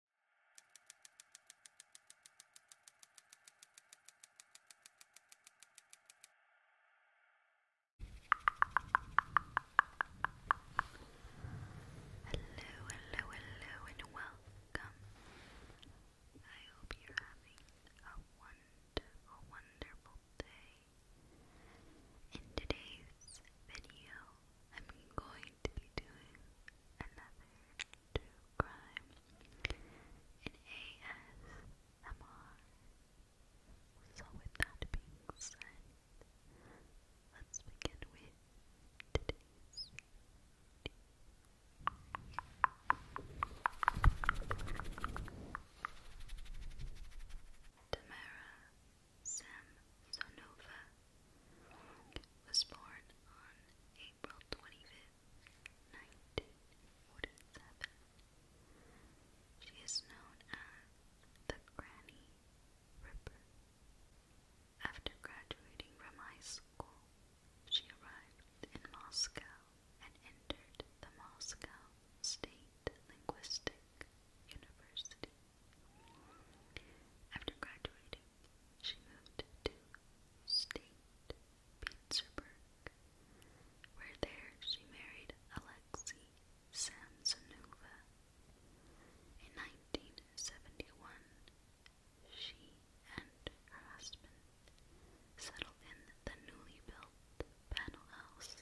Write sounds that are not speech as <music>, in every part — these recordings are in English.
Hello, hello, hello, and welcome. I hope you're having a wonderful, wonderful day. In today's video, I'm going going to be doing another true crime in ASMR. So with that being said, let's begin with today's Tamara Samsonova was born on April 25th, 1947. She is known as the Granny Ripper. After graduating from high school, she arrived in Moscow and entered the Moscow State Linguistic University. After graduating, she moved to State Petersburg, where there she married Alexey Samsonova. In 1971, she and her husband settled in the newly built panel house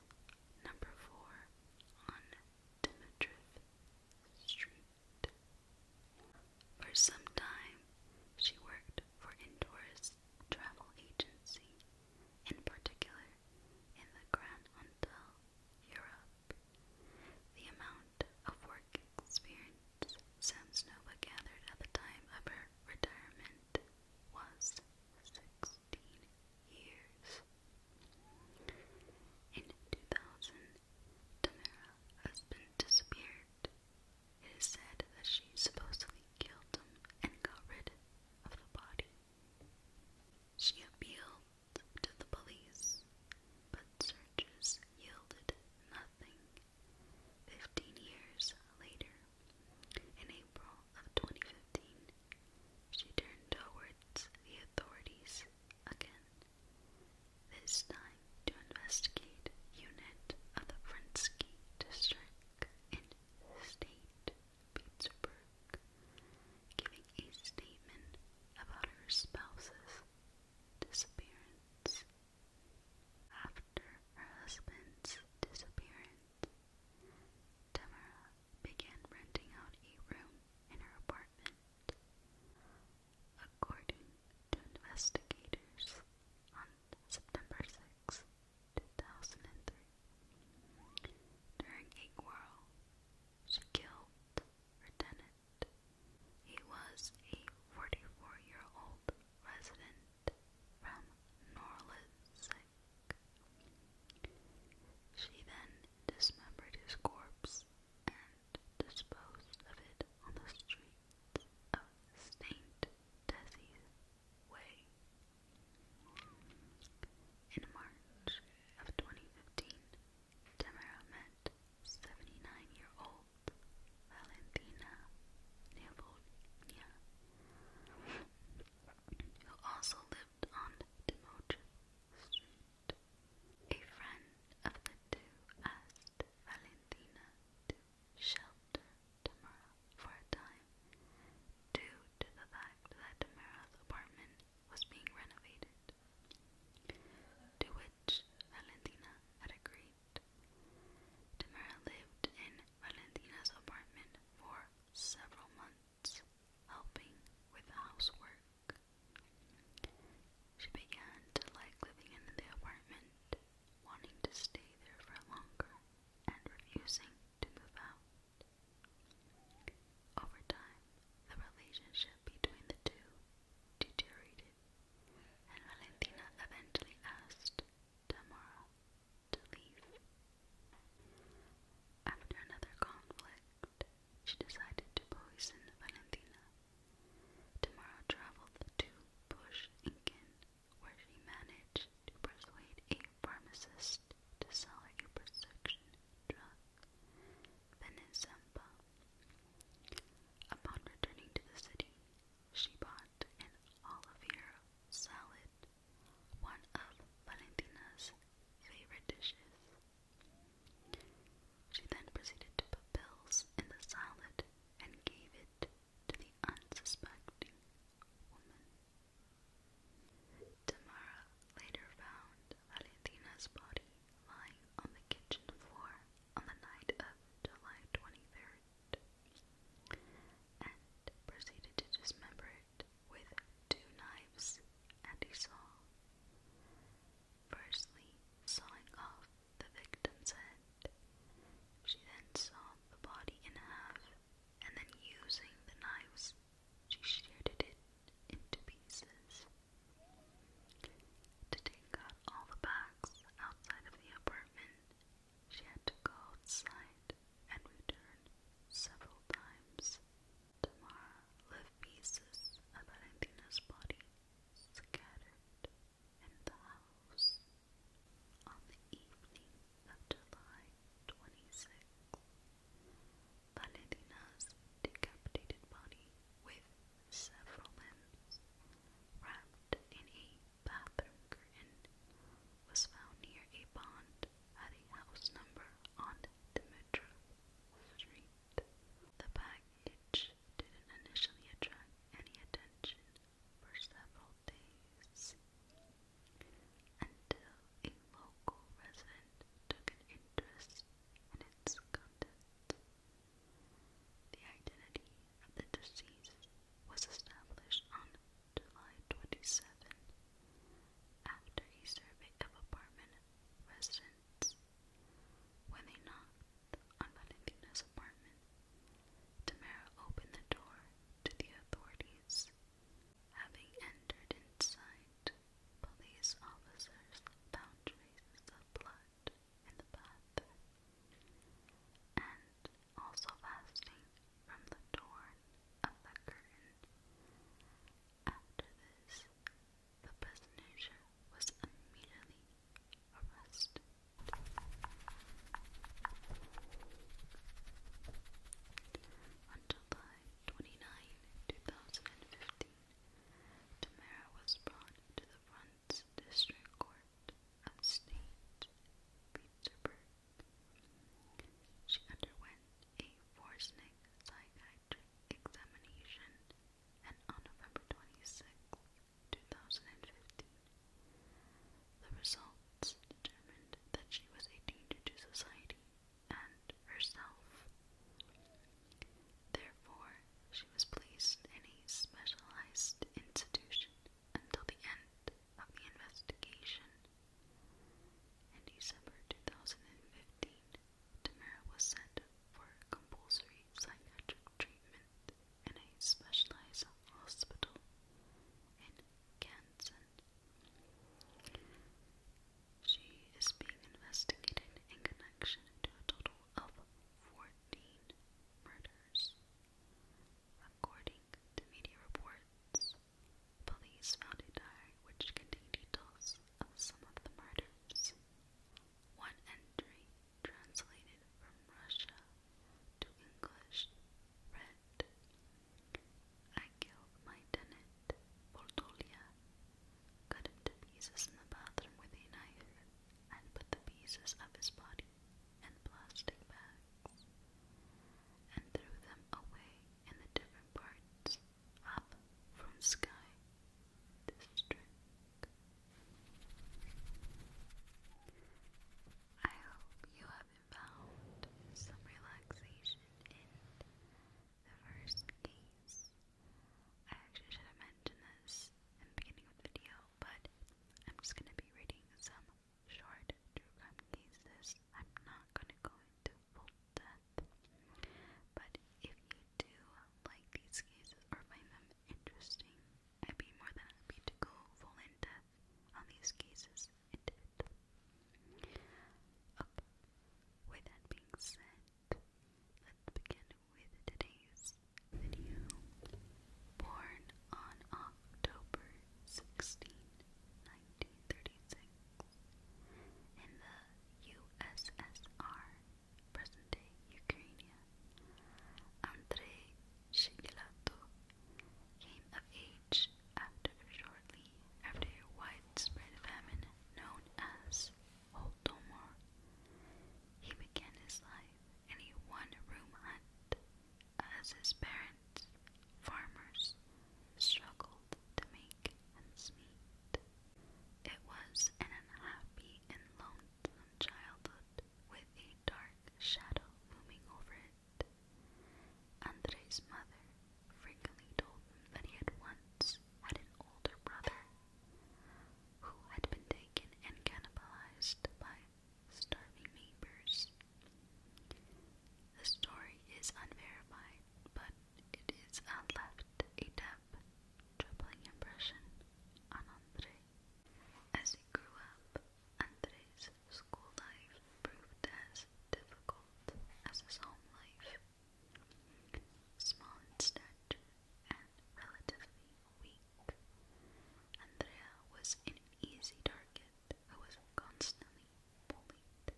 number 4 on Dmitriev Street. For some time, she worked for Indoors Travel Agency, in particular in the Grand Hotel Europe. The amount of work experience Samsonova gathered at the time of her retirement was 16 years. In 2000, Tamara been disappeared. It is said that she supposedly killed him and got rid of the body. She appealed to the police, but searches yielded nothing. Fifteen years later, in April of 2015, she turned towards the authorities again, this time to investigate unit of the Frinsky district in state Pittsburgh, giving a statement about her spouse's disappearance. After her husband's disappearance, Tamara began renting out a room in her apartment. According to investigators, on September 6, 2003, during a quarrel, she killed her tenant. He was a 44-year-old resident from Norlitzick. She then dismembered his corpse and dispose of it on the streets of St. Desi's Way. In March of 2015, Tamara met 79-year-old Valentina Nevolnia, who also lived on Timocha Street, a friend of the two asked Valentina to shelter Tamara for a time due to the fact that Tamara's apartment was being renovated, to which Valentina had agreed. Tamara lived in Valentina's apartment for several months, helping with housework she began to like living in the apartment, wanting to stay there for longer and refusing to move out. Over time, the relationship between the two deteriorated, and Valentina eventually asked Tamara to leave. After another conflict, she decided to poison Valentina. Tamara traveled to Bush Incan, where she managed to persuade a pharmacist to sell her a prescription drug, Venezempa. Upon returning to the city, she bought an olive oil salad, one of Valentina's favorite dishes. She then proceeded to put pills in the salad and gave it to the unsuspecting woman. Tamara later found Valentina's body lying on the kitchen floor on the night of July 23rd and proceeded to dismember it with two knives and he saw. Firstly, sawing off the victim's head. She then saw the body in half, and then using the knives, she sheared it into pieces. To take out all the bags outside of the apartment, she had to go outside and return several times. Tamara lived pieces of Valentina's body scattered in the house. On the evening of July 26, Valentina's decapitated body with several limbs wrapped in a bathroom curtain was found near a pond at a house number on Dimitra Street. The package didn't initially attract any attention for several days until a local resident took an interest in its contents. The identity of the deceased was established on July 27 after a survey of apartment residents when they knocked on Valentina's apartment. Tamara opened the door to the authorities. Having entered inside, police officers found traces of blood in the bath and also fasting from the torn of the curtain after this, the prisoner was immediately arrested. On July 29, 2015, Tamara was brought to the Front District Court of State Petersburg. She underwent a Forsnick psychiatric examination, and on November 26, 2015, the results determined that she was a danger to society and herself. Therefore, she was placed in a specialized institution until the end of the investigation. In December 2015, Tamara was sent for compulsory psychiatric treatment in a specialized hospital in Kansas. She is being investigated in connection to a total of 14 murders. According to media reports, Police found a diary which contained details of some of the murders. One entry, translated from Russia to English, read I killed my tenant, Boltolia, cut him pieces in the bathroom with a knife, and put the pieces of his body in plastic bags, and threw them away in the different parts up from sky district. I hope you have found some relaxation in the first case. I actually should have mentioned this in the beginning of the video, but I'm just gonna be reading some short true crime cases. I'm not gonna go into full death. But if you do like these cases or find them interesting, I'd be more than happy to go full in depth on these cases in with that being said, let's begin with today's video. Born on October 16, in the USSR, present-day Ukraine, Andrei Shigilatov came of age after shortly after a widespread famine known as Holodomor. He began his life in a one-room hut as his parents yards, farmers struggled to make ends meet. It was an unhappy and lonesome childhood with a dark shadow looming over it. Andre's mother frequently told him that he had once had an older brother who had been taken and cannibalized by starving neighbors. The story is unverified but it is and left a damp, troubling impression on Andre. As he grew up, Andre's school life proved as difficult as his home life. Small in and relatively weak, Andrea was an easy target who was constantly bullied.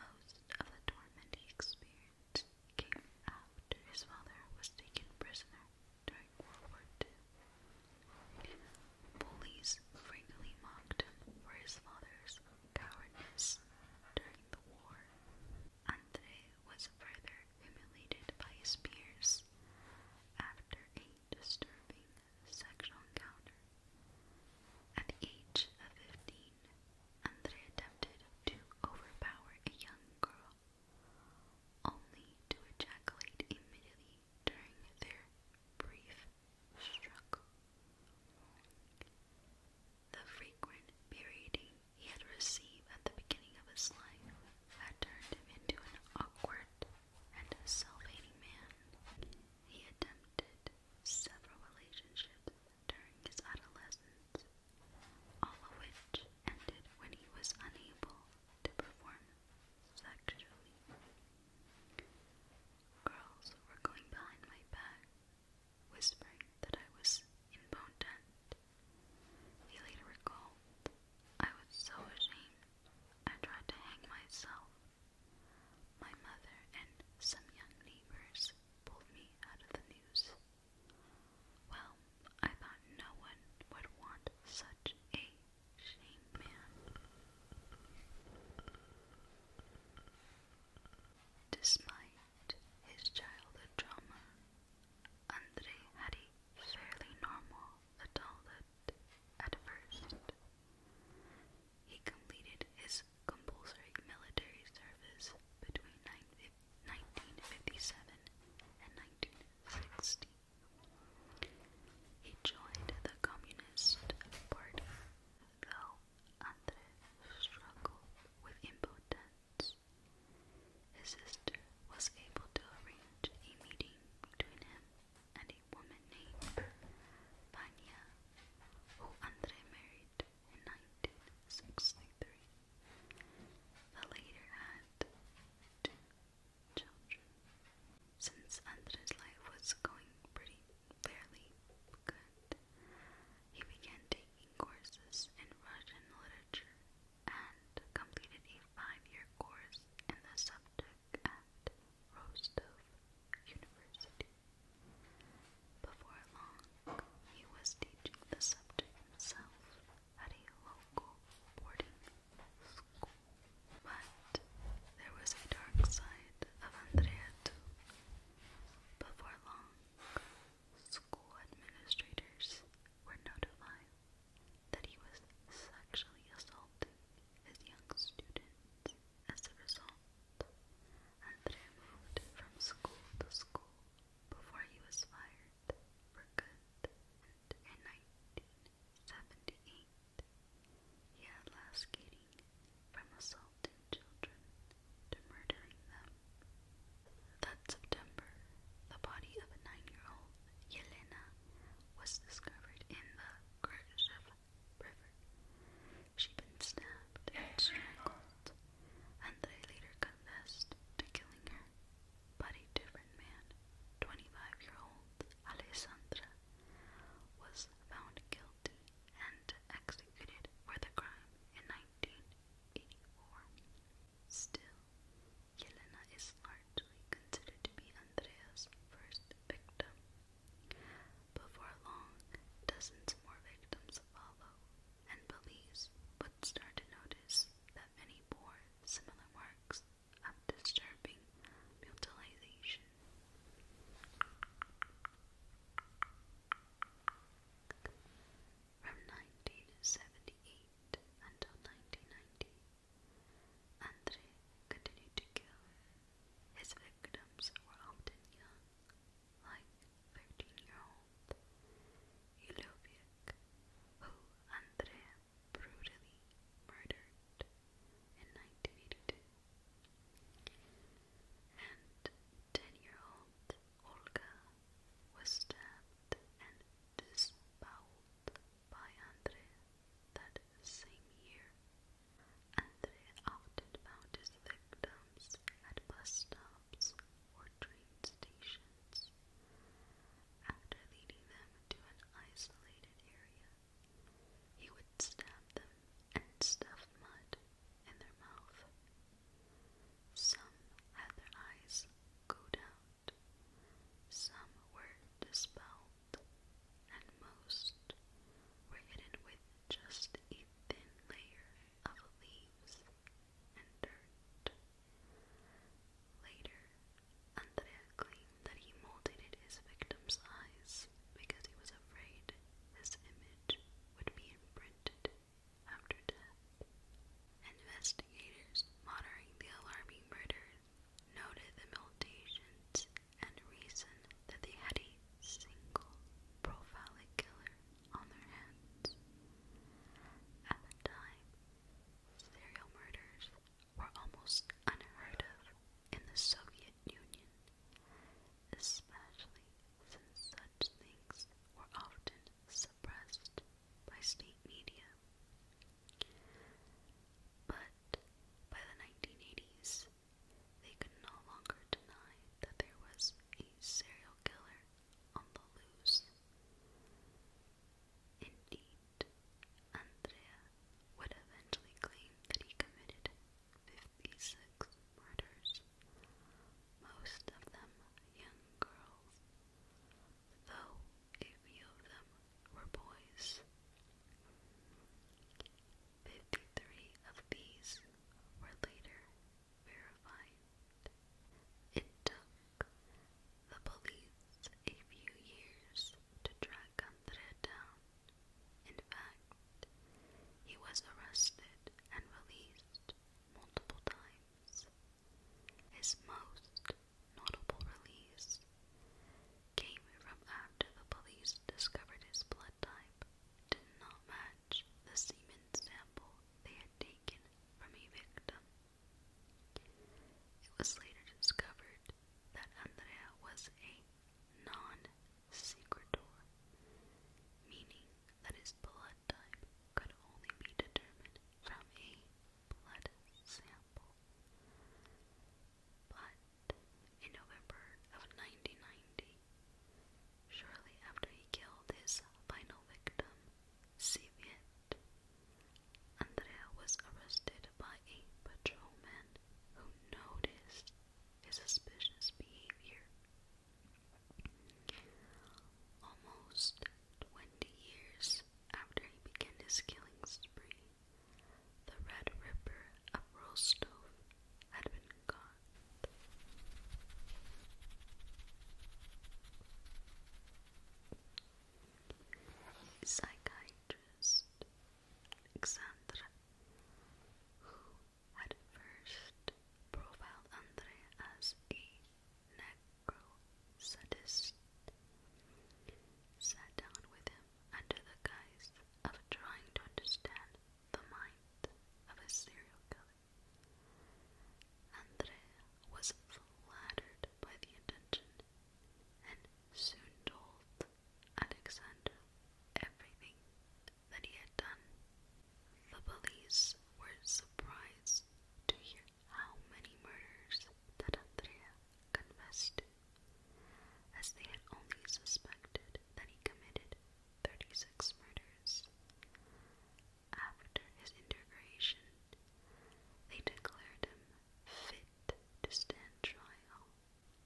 Most of the torment he experienced came after his father was taken prisoner during World War II. Bullies frequently mocked him for his father's cowardice during the war. Andre was further humiliated by his peers after a disturbing sexual encounter. At the age of 15, Andre attempted to overpower a young girl, only to ejaculate immediately during their brief struggle. The frequent berating he had received at the beginning of his life had turned him into an awkward and self-hating man. He attempted several relationships during his adolescence, all of which ended when he was unable to perform sexually. Girls were going behind my back, whispering that I was impotent. He later recalled, I was so ashamed, I tried to hang myself my mother and some young neighbors pulled me out of the news. Well, I thought no one would want such a shame man. Despite his childhood trauma, Andre had a fairly normal adulthood at first. He completed his compulsory military service between 1957 and 1960. He joined the Communist Party, though Andre struggled with impotence. His sister was able to arrange a meeting between him and woman named Pania, who Andre married in 1963. The latter had two children. Since Andre's life was going pretty fairly good, he began taking courses in Russian literature and completed a five year course in the subject at Rostov University. Before long, he was teaching the subject himself at a local boarding school. But there was a dark side of Andrea too. Before long, school administrators were notified that he was sexually assaulting his young students as a result. André moved from school to school before he was fired for good, in 1978 he had lascating from assaulting children to murdering them. That September, the body of a nine-year-old Yelena was discovered in the Khrushchev She'd been stabbed and strangled, and they later confessed to killing her, but a different man, 25-year-old Alessandra, was found guilty and executed for the crime in 1984. Still, Yelena is largely considered to be Andrea's first victim, before long, dozens more victims follow, and police would start to notice that many bore similar marks of disturbing mutilation. From 1978 until 1990, Andre continued to kill. His victims were often young, like 13-year-old Ilovic, who Andre brutally murdered in 1982, and 10-year-old Olga was stabbed and disemboweled by Andre that same year. Andre often found his victims at bus stops or train stations. After leading them to an isolated area, he would stab them and stuff mud in their mouth. Some had their eyes go out, some were dispelled and most were hidden with just a thin layer of leaves and dirt. Later, Andrea claimed that he mutilated his victim's eyes because he was afraid his image would be imprinted after death. Investigators monitoring the alarming murder noted the mutations and reasoned that they had a single profiling killer on their hands. At the time, serial murders were almost unheard of in the Soviet Union, especially since such things were often suppressed by state media. But by the 1980s, they could no longer deny that there was a serial killer on the loose. Indeed, Andrea would eventually claim that he committed 56 murders, most of them young girls, though a few of them were boys. Fifty three of these were later verified. It took the police a few years to track Andrea down. In fact, he was arrested and released multiple times. His most notable release came from after the police discovered his blood type did not match the semen sample they had taken from a victim. It was later discovered that Andrea was a non-secretor, meaning that his blood type could only be determined from a blood sample. But in November of 1990, shortly after he killed his final victim, Siviet, Andrea was arrested by a patrolman who noticed his suspicious behavior. Almost 20 years after he began his killing spree, the Red Ripper of Rostov had been gone. Psychiatrist Alexandra, who had first profiled Andre as a necro sadist, sat down with him under the guise of trying to understand the mind of a serial killer. Andrea was flattered by the attention and soon told Alexander everything that he had done. The police were surprised to hear how many murders that Andrea confessed as they had only suspected that he committed 36 murders. After his integration, they declared him fit to stand trial.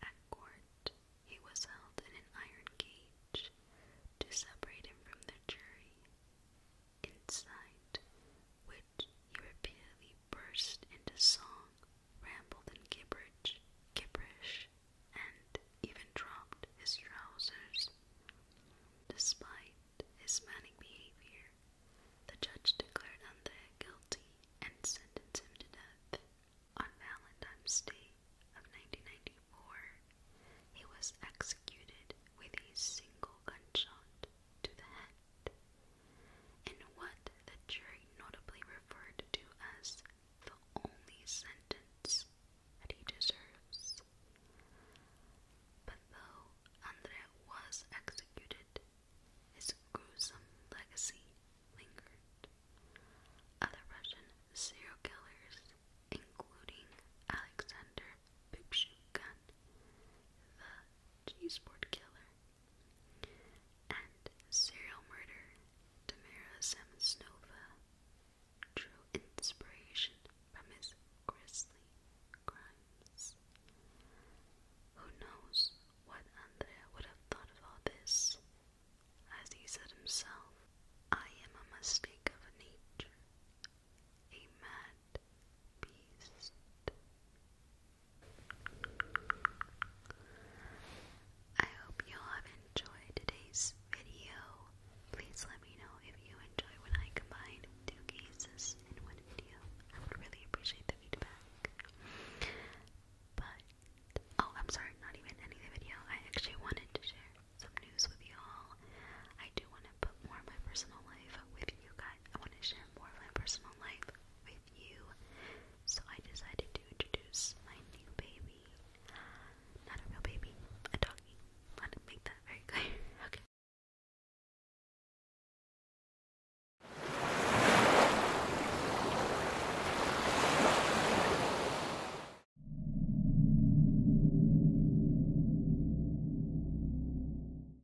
At court, he was held in an iron cage to separate him from the jury. Inside, which he repeatedly burst into song, rambled in gibberish, gibberish, and even dropped his trousers. Despite his manic behavior, the judge declared Andrea guilty and sentenced him to death. On Valentine's Day of 1994, he was executed with a single gunshot to the head in what the jury notably referred to as the only sentence that he deserves. But though Andrea was executed, his gruesome legacy lingered. Other Russian serial killers, including Alexander Pipshukan, the cheeseboard killer, and serial murder Tamara Samsonova drew inspiration from his grisly crimes. Who knows what Andrea would have thought of this? As he said himself, I am a mistake of nature, a mad beast. I hope you all have enjoyed today's video. Please let me know if you enjoy when I combine two cases in one video. I would really appreciate the feedback. But, oh, I'm sorry, not even any the video. I actually wanted to share some news with you all. I do want to put more of my personal life with you guys. I want to share more of my personal life with you. So I decided to introduce my new baby. Not a real baby, a doggy. Let me make that very clear. <laughs> Okay.